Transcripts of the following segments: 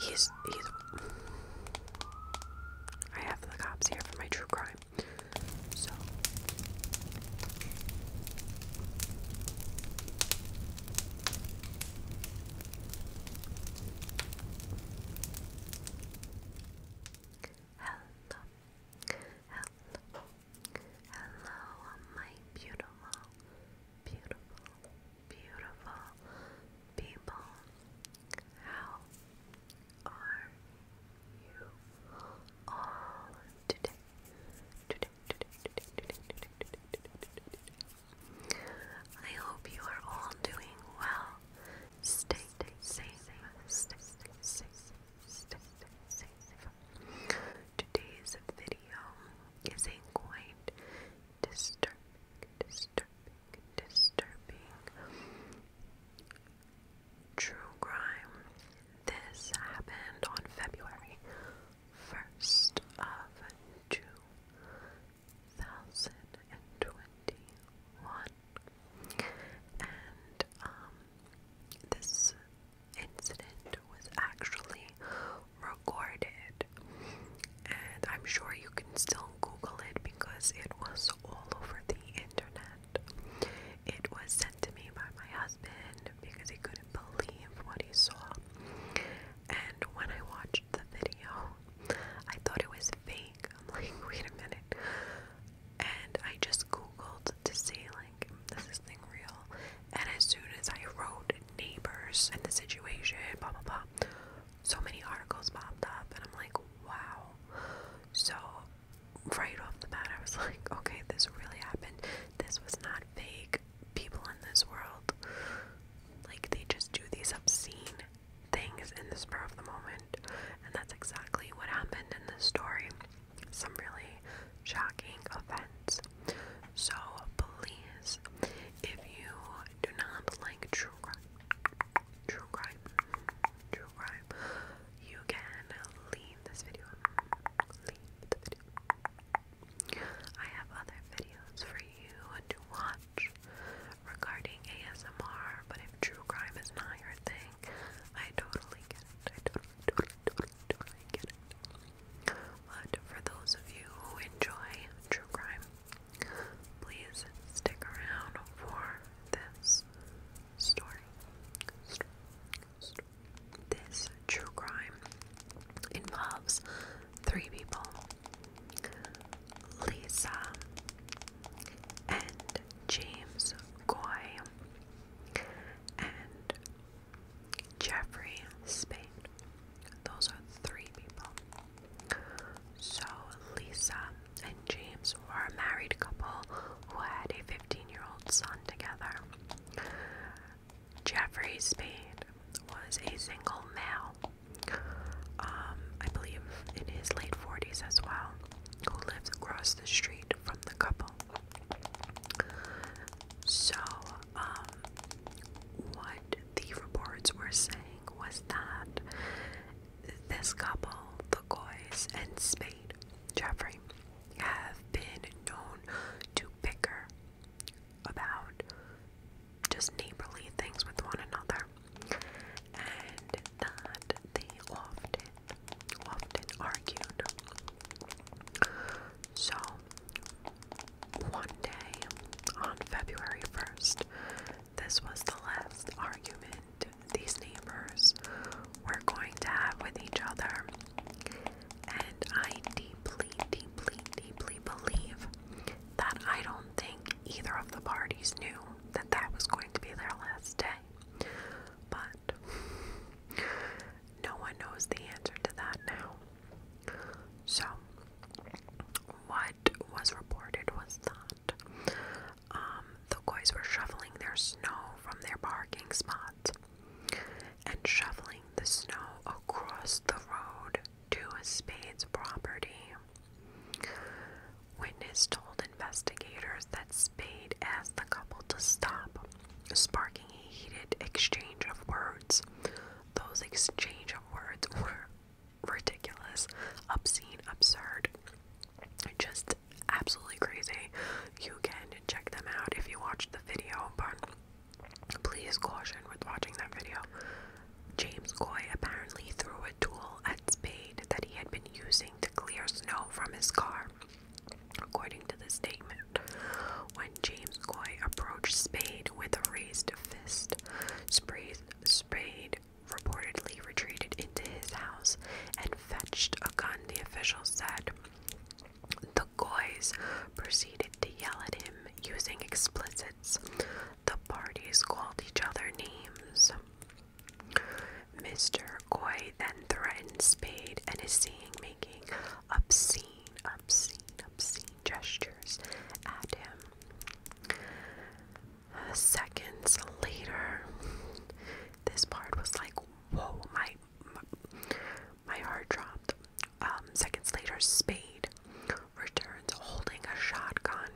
He's he's I have the cops here for my true crime. So Hello. Hello. Hello, my beautiful, beautiful, beautiful people. How are you all today? I hope you are all doing well. stay safe, stay safe, stay safe. Today's video is a quite disturbing, disturbing, disturbing true crime. This happened on February 1st of 2021. And um this incident was actually recorded. And I'm sure you can still Google it because it was all over the internet. It was sent to me by my husband because he couldn't believe what he saw. And when I watched the video, I thought it was fake. I'm like, wait a minute. And I just Googled to see, like, this is thing real? And as soon as I wrote neighbors and the situation, blah blah blah, so many articles popped up, and I'm like, wow. So right off the bat, I was like, okay, this really happened. This was not fake. People in this world, like, they just do these obscene things in the spur of the moment, and that's exactly what happened in this story some really shocking events. So please, if you do not like true crime, true crime, true crime, you can leave this video. Leave the video. I have other videos for you to watch regarding ASMR, but if true crime is not your thing, I totally get it. But for those of you who enjoy true crime, please stick around for this story. This true crime involves three people Lisa and James Goy and Jeffrey Spain. Those are three people. So Lisa and James were a married couple who had a 15 year old son together. Jeffrey Spade was a single male, um, I believe in his late 40s as well, who lived across the street from the couple. So, um, what the reports were saying was that this couple, the Goys and Spade Jeffrey, have been known to bicker about just neighborly things with one another, and that they often often argued. So, one day on February 1st, this was the last argument these neighbors were going to have with each other. And I deeply, deeply, deeply believe that I don't think either of the parties knew that that was going to be their last day. But no one knows the answer to that now. So, what was reported was that um, the Goys were shoveling their snow from their parking spots and shoveling the snow across the road to a spade's property. Witness told investigators that Spade asked the couple to stop, sparking a heated exchange of words. Those exchange of words were ridiculous, obscene, absurd, just absolutely crazy. You can check them out if you watch the video, but please caution with watching that video. James Coy apparently threw a tool shovel and spade that he had been using to clear snow from his car, according to the statement. When James Coy approached Spade with a raised fist, Spade, reportedly retreated into his house and fetched a gun, the officials said. The Goys proceeded to yell at him using explicits. The parties called each other names. Mr. Coy then threatens Spade and is seen making obscene, obscene, obscene gestures at him. seconds later, this part was like, whoa, my, my, heart dropped. Um, seconds later, Spade returns holding a shotgun.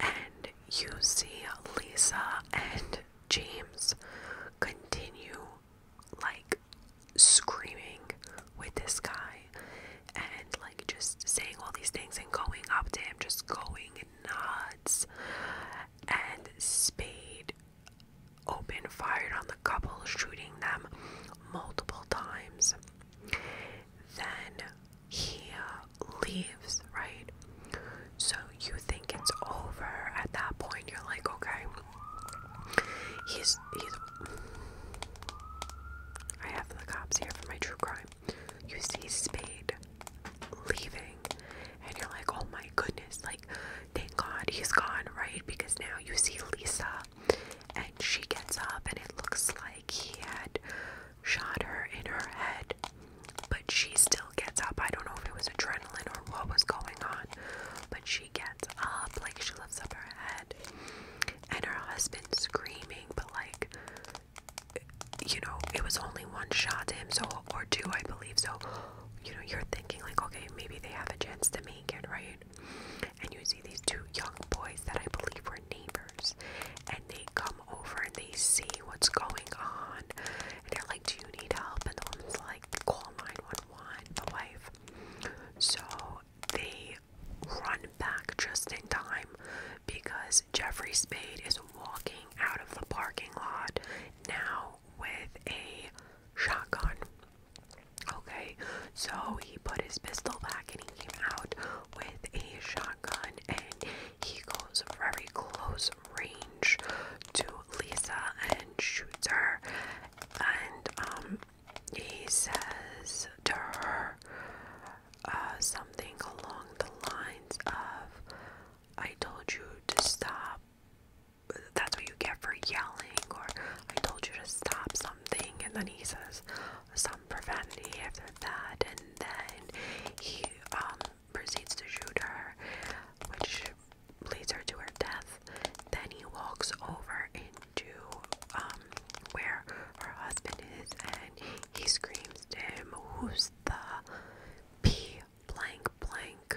And you see Lisa and James continue like screaming with this guy and like just saying all these things and going up to him, just going nuts. And Spade open fired on the couple, shooting them multiple times. Then he leaves, right? So you think it's over at that point. You're like, okay, he's he's. I have the cops here for my true crime. You see Spade leaving, and you're like, oh my goodness, like, thank God he's gone, right? Because now you see Lisa, and she gets up, and it looks like he had shot her in her head, but she still gets up. I don't know if it was adrenaline or what was going on, but she gets up, like she lifts up her head, and her husband screaming, but like, you know, it was only one shot to him, so, or two, I believe. So, you know, you're thinking, like, okay, maybe they have a chance to make it, right? And you see these two young boys that I believe were neighbors, and they come over and they see what's going on, and they're like, "Do you need help?" And the woman's like, "Call 911." The wife. So they run back just in time because Jeffrey Spade is walking out of the parking lot now with a shotgun. Okay, so he put his pistol back and he came out with a shotgun and he goes very close range to Lisa and shoots her and um he says to her uh, something along the lines of I told you to stop that's what you get for yelling or I told you to stop something and then he says some profanity after that, and then he um, proceeds to shoot her, which leads her to her death. Then he walks over into um, where her husband is, and he screams to him, "Who's the p blank blank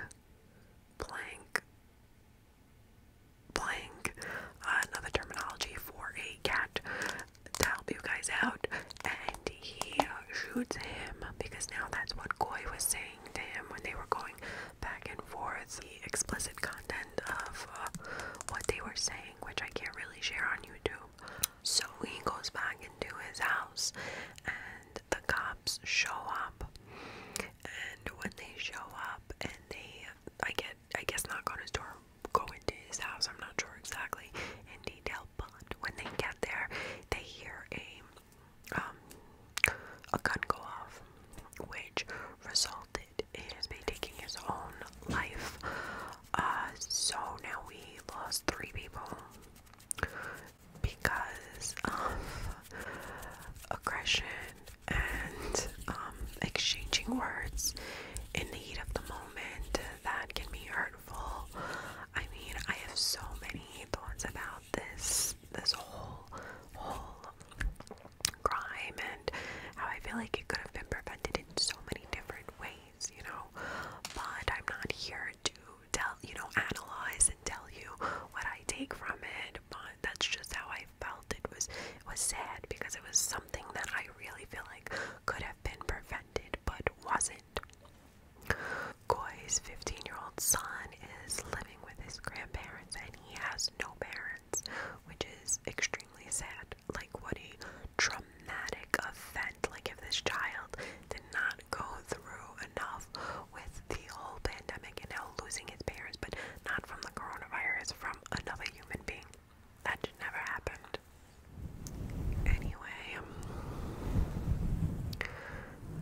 blank blank uh, another terminology for a cat to help you guys out and he shoots him because now that's what Koi was saying to him when they were going back and forth the explicit content of uh, what they were saying which I can't really share on YouTube so he goes back into his house and the cops show up and when they show up and they I get I guess knock on his door, go into his house. I'm not sure exactly in detail, but when they get there, they hear a um, a gun go off, which resulted in his taking his own life. Uh, so now we lost three people because of aggression, and um, exchanging words in the heat of the moment that can be hurtful. I mean, I have so many thoughts about this this whole whole crime and how I feel like it could have been prevented in so many different ways, you know. But I'm not here to tell you know, analyze and tell you what I take from it, but that's just how I I felt it was was sad because it was something that I really feel like could have been prevented but wasn't. Goy's 15-year-old son is living with his grandparents and he has no parents, which is extremely sad. Like what a traumatic event. Like if this child did not go through enough with the whole pandemic and now losing his parents, but not from the coronavirus, from another human being. That never happened. Anyway, um,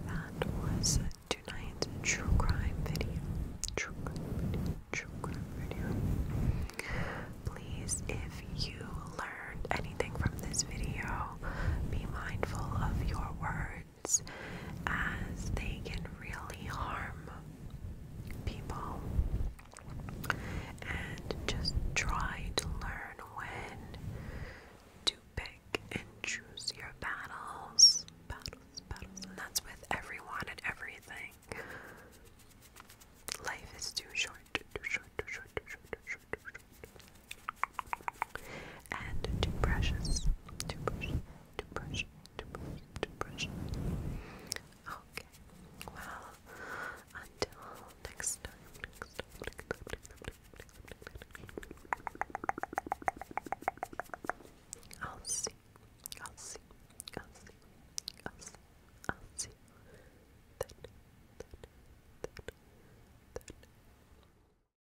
that was tonight's true crime video. True True crime video. Please, if you learned anything from this video, be mindful of your words words as they can really harm people. And just try to learn when to pick and choose your battles. Battles, battles. And that's with everyone and everything. Life is too short, too short, too short, too short, too short, too short and two brushes. Two brush, two brush, two brush, two brush. Okay. Well, until next time. I'll see. I'll see. I'll see. I'll see. I'll see. Then, then, then, then.